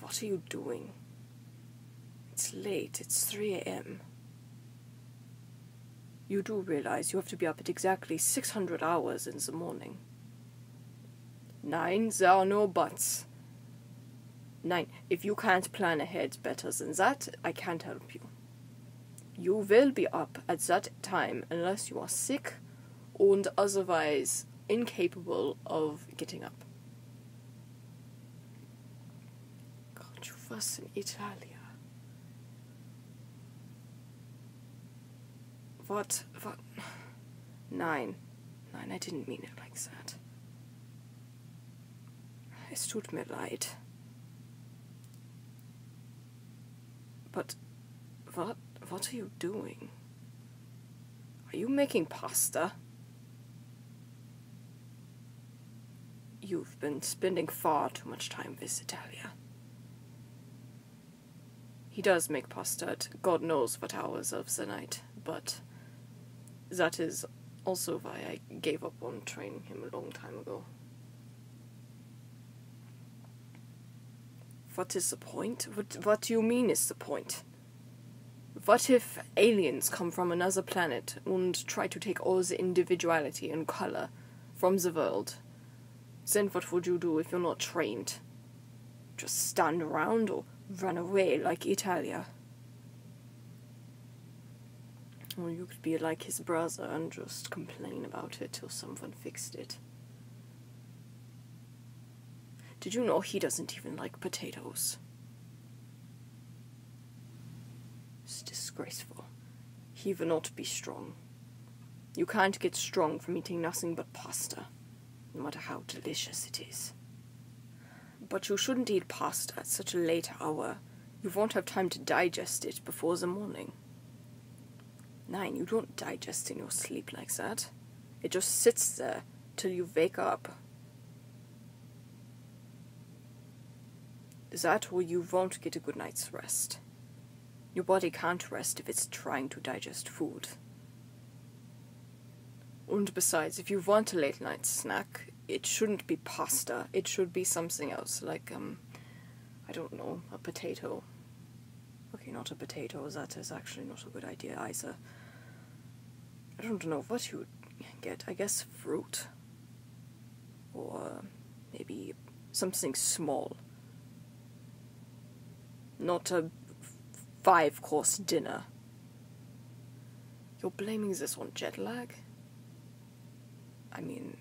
What are you doing? It's late, it's 3 a.m. You do realize you have to be up at exactly 600 hours in the morning. Nine, there are no buts. Nine, if you can't plan ahead better than that, I can't help you. You will be up at that time unless you are sick and otherwise incapable of getting up. God, you was What? What? Nein. Nein, I didn't mean it like that. I stood me leid. But what what are you doing? Are you making pasta? You've been spending far too much time with Italia. He does make pasta at God knows what hours of the night, but that is also why I gave up on training him a long time ago. What is the point? What, what do you mean is the point? What if aliens come from another planet and try to take all the individuality and color from the world? Then what would you do if you're not trained? Just stand around or run away like Italia? Or you could be like his brother and just complain about it till someone fixed it. Did you know he doesn't even like potatoes? It's disgraceful. He will not be strong. You can't get strong from eating nothing but pasta, no matter how delicious it is. But you shouldn't eat pasta at such a late hour. You won't have time to digest it before the morning. Nine, you don't digest in your sleep like that. It just sits there till you wake up. That why you won't get a good night's rest. Your body can't rest if it's trying to digest food. And besides, if you want a late night snack, it shouldn't be pasta. It should be something else, like um, I don't know, a potato. Okay, not a potato, that is actually not a good idea either. I don't know what you would get. I guess fruit. Or maybe something small. Not a five course dinner. You're blaming this on jet lag? I mean,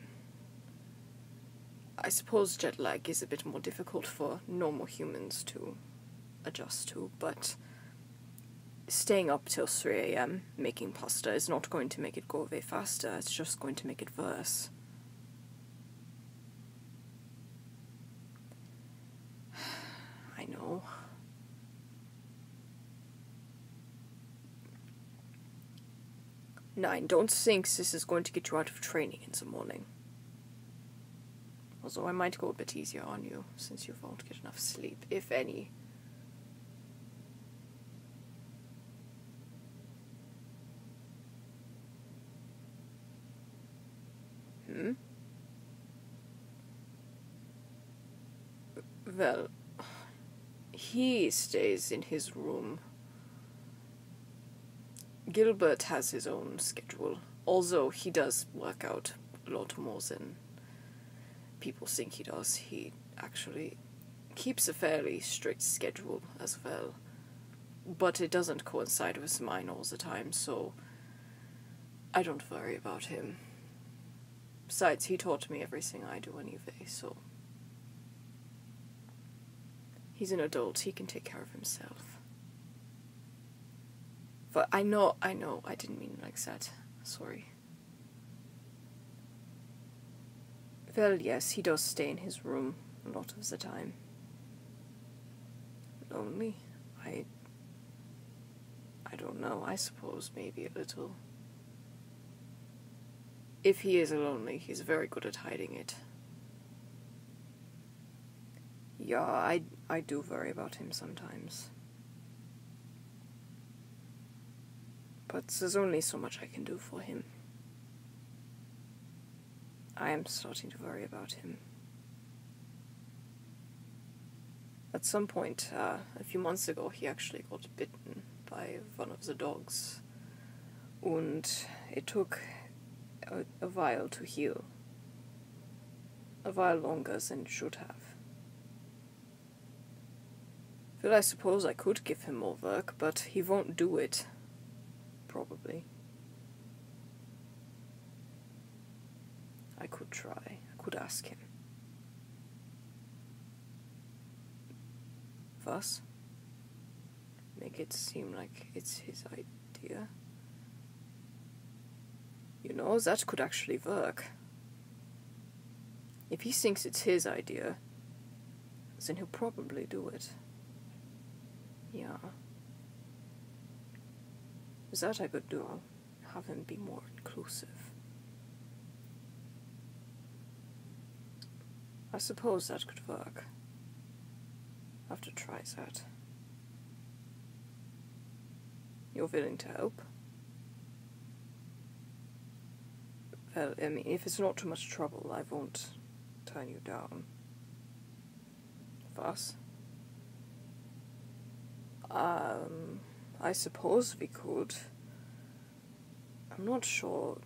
I suppose jet lag is a bit more difficult for normal humans to adjust to, but staying up till 3 am making pasta is not going to make it go away faster, it's just going to make it worse. I know. 9. Don't think this is going to get you out of training in the morning. Although I might go a bit easier on you, since you won't get enough sleep, if any. Hmm? Well, he stays in his room. Gilbert has his own schedule, although he does work out a lot more than people think he does. He actually keeps a fairly strict schedule as well, but it doesn't coincide with mine all the time, so I don't worry about him. Besides, he taught me everything I do anyway, so He's an adult, he can take care of himself. But I know, I know, I didn't mean like that. Sorry. Well, yes, he does stay in his room a lot of the time. Lonely? I. I don't know, I suppose maybe a little. If he is lonely, he's very good at hiding it. Yeah, I, I do worry about him sometimes. But there's only so much I can do for him. I am starting to worry about him. At some point, uh, a few months ago, he actually got bitten by one of the dogs, and it took a, a while to heal. A while longer than it should have. Well, I suppose I could give him more work, but he won't do it. Probably. I could try. I could ask him. Thus, make it seem like it's his idea. You know, that could actually work. If he thinks it's his idea, then he'll probably do it. Yeah. Is That I could do, have him be more inclusive. I suppose that could work. I have to try that. You're willing to help? Well, I if it's not too much trouble, I won't turn you down. Thus, um, I suppose we could I'm not sure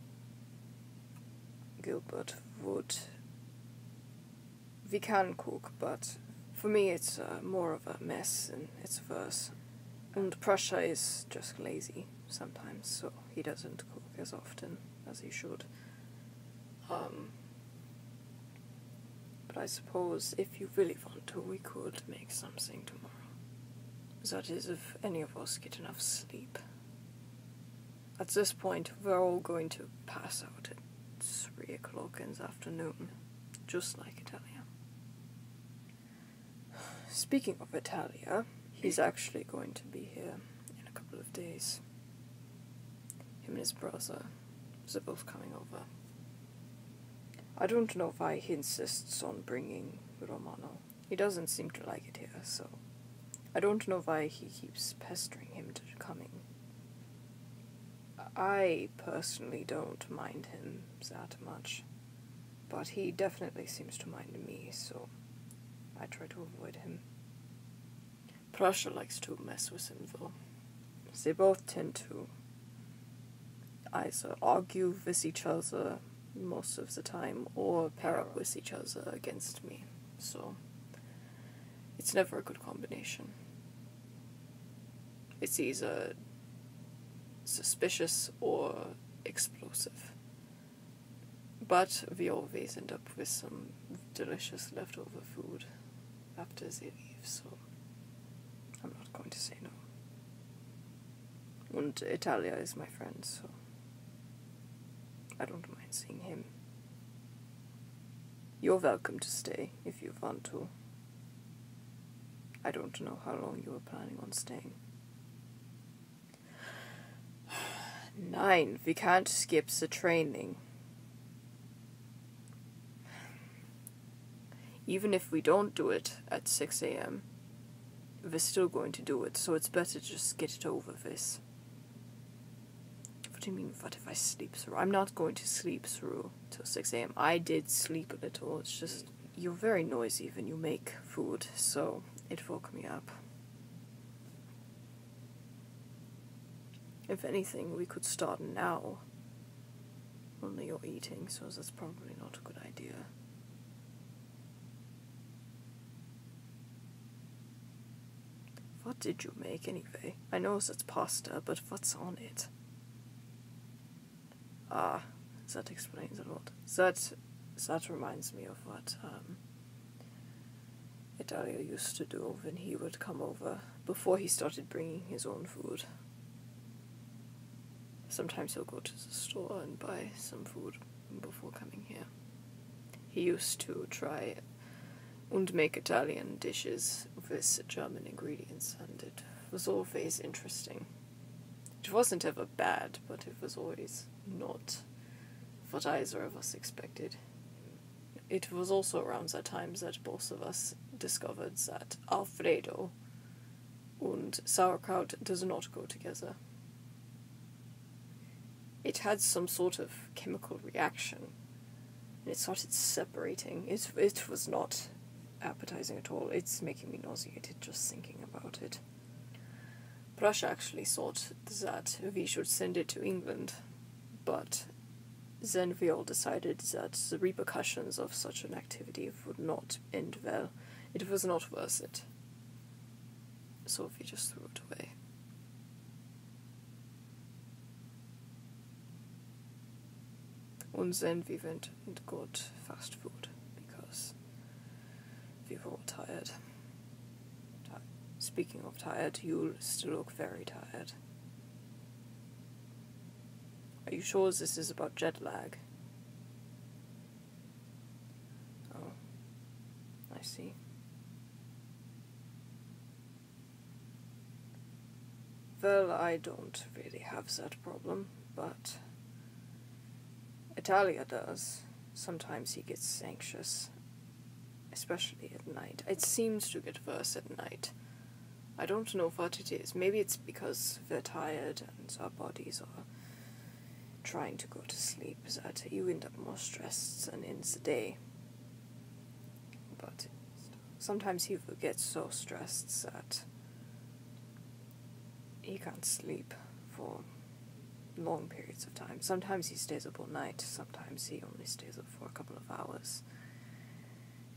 Gilbert would. We can cook, but for me it's uh, more of a mess and it's worse. And Prussia is just lazy sometimes, so he doesn't cook as often as he should. Um, but I suppose if you really want to, we could make something tomorrow that is, if any of us get enough sleep. At this point, we're all going to pass out at 3 o'clock in the afternoon, just like Italia. Speaking of Italia, he's actually going to be here in a couple of days. Him and his brother, they're both coming over. I don't know why he insists on bringing Romano. He doesn't seem to like it here, so I don't know why he keeps pestering him to coming. I personally don't mind him that much, but he definitely seems to mind me, so I try to avoid him. Prussia likes to mess with him, though. They both tend to either argue with each other most of the time or pair up with each other against me. So it's never a good combination. It's either suspicious or explosive. But we always end up with some delicious leftover food after they leave, so I'm not going to say no. And Italia is my friend, so I don't mind seeing him. You're welcome to stay if you want to. I don't know how long you are planning on staying. Nine. We can't skip the training. Even if we don't do it at 6 am, we're still going to do it, so it's better to just get it over with. What do you mean, what if I sleep through? I'm not going to sleep through till 6 am. I did sleep a little, it's just you're very noisy when you make food, so it woke me up. If anything, we could start now. Only you're eating, so that's probably not a good idea. What did you make anyway? I know it's pasta, but what's on it? Ah, that explains a lot. That that reminds me of what um, Italia used to do when he would come over before he started bringing his own food. Sometimes he'll go to the store and buy some food before coming here. He used to try and make Italian dishes with German ingredients, and it was always interesting. It wasn't ever bad, but it was always not what either of us expected. It was also around that time that both of us discovered that Alfredo and sauerkraut does not go together. It had some sort of chemical reaction and it started separating. It, it was not appetizing at all. It's making me nauseated just thinking about it. Prussia actually thought that we should send it to England, but then we all decided that the repercussions of such an activity would not end well. It was not worth it. Sophie just threw it away. Once in, we went and got fast food because we were all tired. Speaking of tired, you still look very tired. Are you sure this is about jet lag? Oh, I see. Well, I don't really have that problem, but Italia does. Sometimes he gets anxious, especially at night. It seems to get worse at night. I don't know what it is. Maybe it's because we're tired and our bodies are trying to go to sleep that you end up more stressed than in the day. But sometimes he gets so stressed that he can't sleep for long periods of time. Sometimes he stays up all night, sometimes he only stays up for a couple of hours.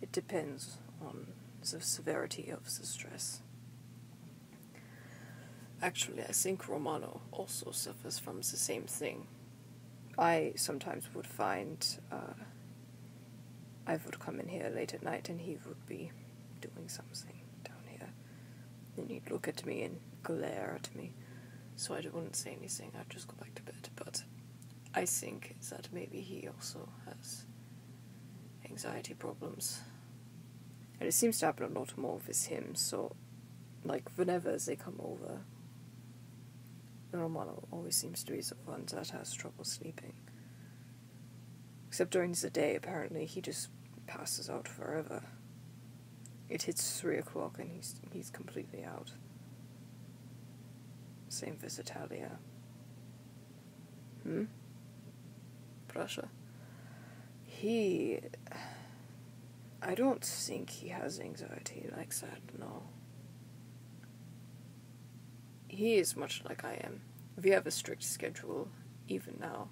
It depends on the severity of the stress. Actually, I think Romano also suffers from the same thing. I sometimes would find uh, I would come in here late at night and he would be doing something down here. And he'd look at me and glare at me. So I wouldn't say anything, I'd just go back to bed. But I think that maybe he also has anxiety problems. And it seems to happen a lot more with him, so, like, whenever they come over, Romano always seems to be the one that has trouble sleeping. Except during the day, apparently, he just passes out forever. It hits three o'clock and he's, he's completely out. Same with Italia. Hmm? Prussia. He. I don't think he has anxiety like that, no. He is much like I am. We have a strict schedule, even now.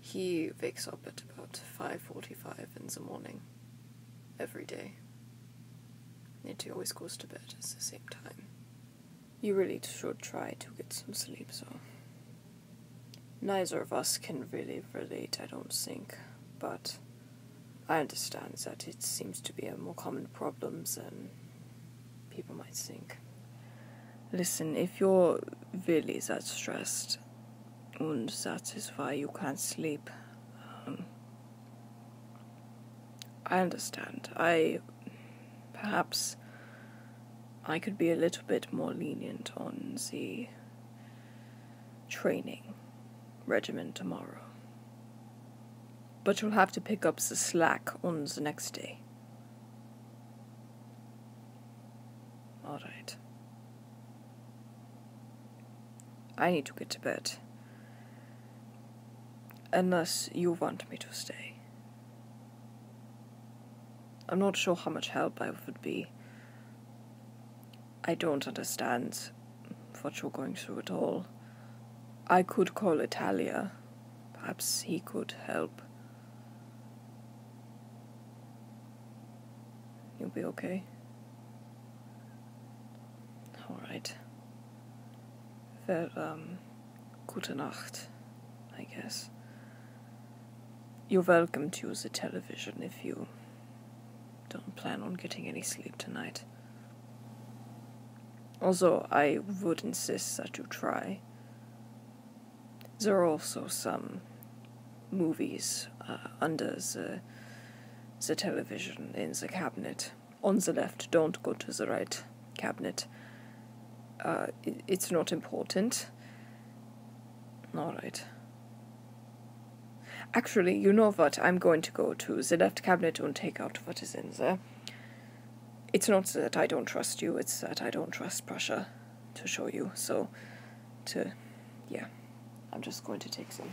He wakes up at about 5.45 in the morning, every day. And he always goes to bed at the same time. You really should try to get some sleep, so. Neither of us can really relate, I don't think, but I understand that it seems to be a more common problem than people might think. Listen, if you're really that stressed, and satisfied, you can't sleep, um, I understand. I. Perhaps I could be a little bit more lenient on the training regimen tomorrow. But you'll have to pick up the slack on the next day. Alright. I need to get to bed. Unless you want me to stay. I'm not sure how much help I would be. I don't understand what you're going through at all. I could call Italia. Perhaps he could help. You'll be okay? Alright. Um, Good night. I guess. You're welcome to use the television if you don't plan on getting any sleep tonight. Although I would insist that you try. There are also some movies uh, under the television in the cabinet on the left, don't go to the right cabinet. Uh, it's not important. Alright. Actually, you know what? I'm going to go to the left cabinet and take out what is in there. It's not that I don't trust you, it's that I don't trust Prussia to show you. So, to, yeah, I'm just going to take some.